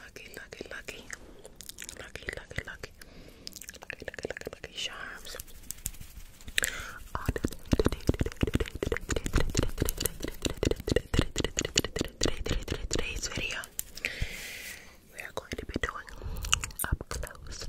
Lucky, lucky, lucky. Lucky, lucky, lucky, lucky charms. Today's video, we are going to be doing up close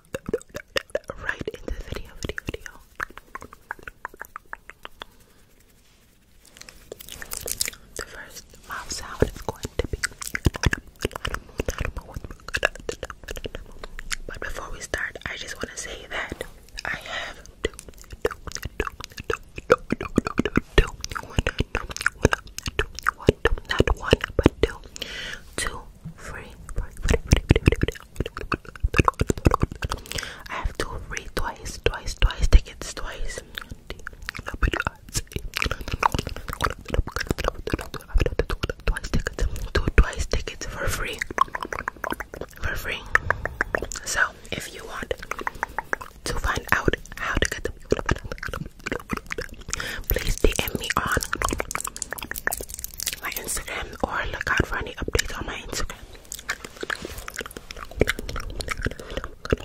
right in the video, video, video. The first mouth sound is going to be. But before we start, I just want to say that I have not one, but two, two free, free, free, free, free. I have two free twice, twice, twice tickets, twice. Twice tickets, two twice tickets for free, for free. So if you want to find out how to get them, please DM me on my Instagram or look out for any updates on my Instagram. Pretty good.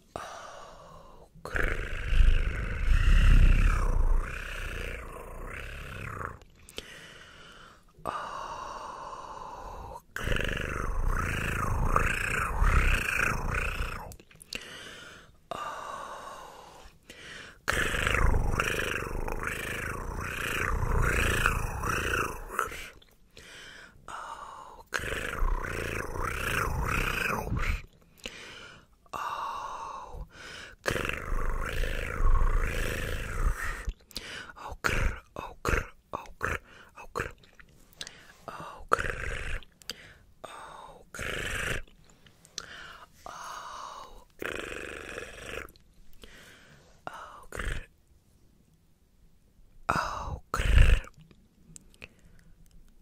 Oh. Oh. Oh. Oh. Oh. Oh, grr, oh, grr, oh, grr, oh, grr. Oh, grr. Oh, grr. Oh, grr. Oh, grr. Oh, grr.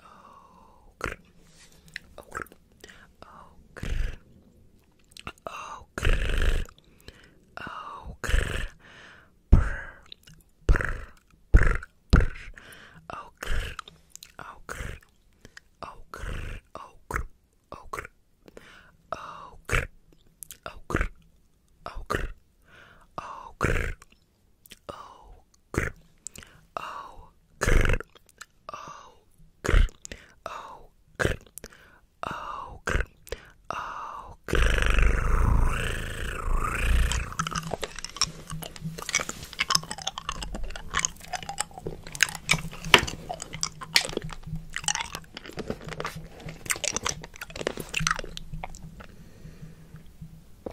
Oh, grr. Oh, grr. Oh, grr. Oh, grr. Oh, grr. Brr. Brr. Brr. Brr. Oh, grr. Oh, grr. Oh, grr. Oh, grr. Oh, grr. Oh, grr. Oh, grr. Oh, grr. Oh, grr. Oh, grr. Oh, grr. Oh, grr. Oh, grr. Oh, grr. Oh, grr.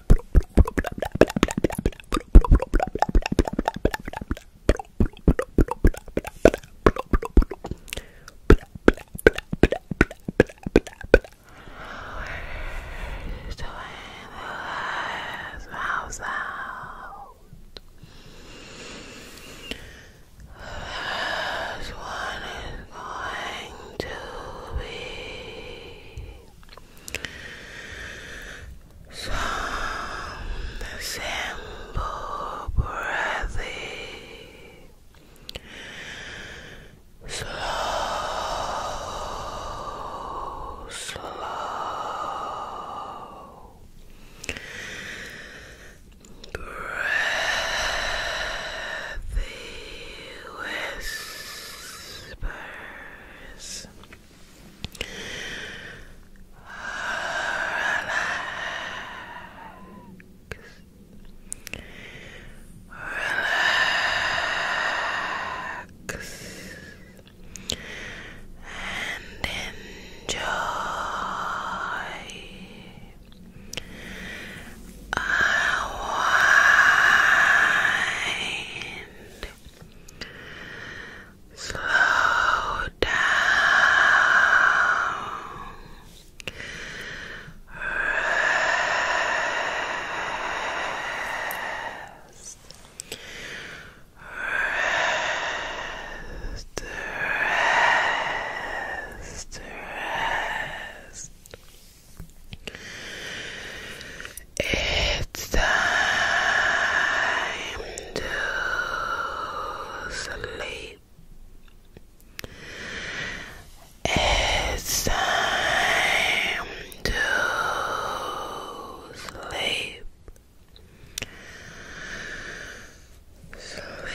This one is going to be Sound simple breathing. Slow, slow. Breathy, whispers relax relax and enjoy Unwind. Slow down. Rest. Rest. Rest. Rest. It's time to sleep. It's time to sleep. Sleep.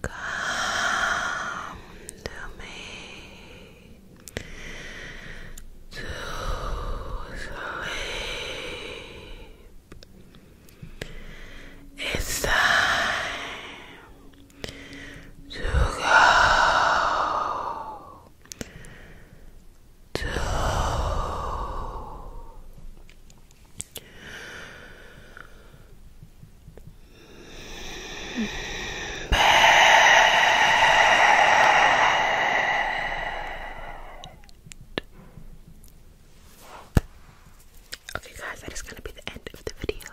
Come to me to sleep. It's time to go to Okay, guys, that is going to be the end of the video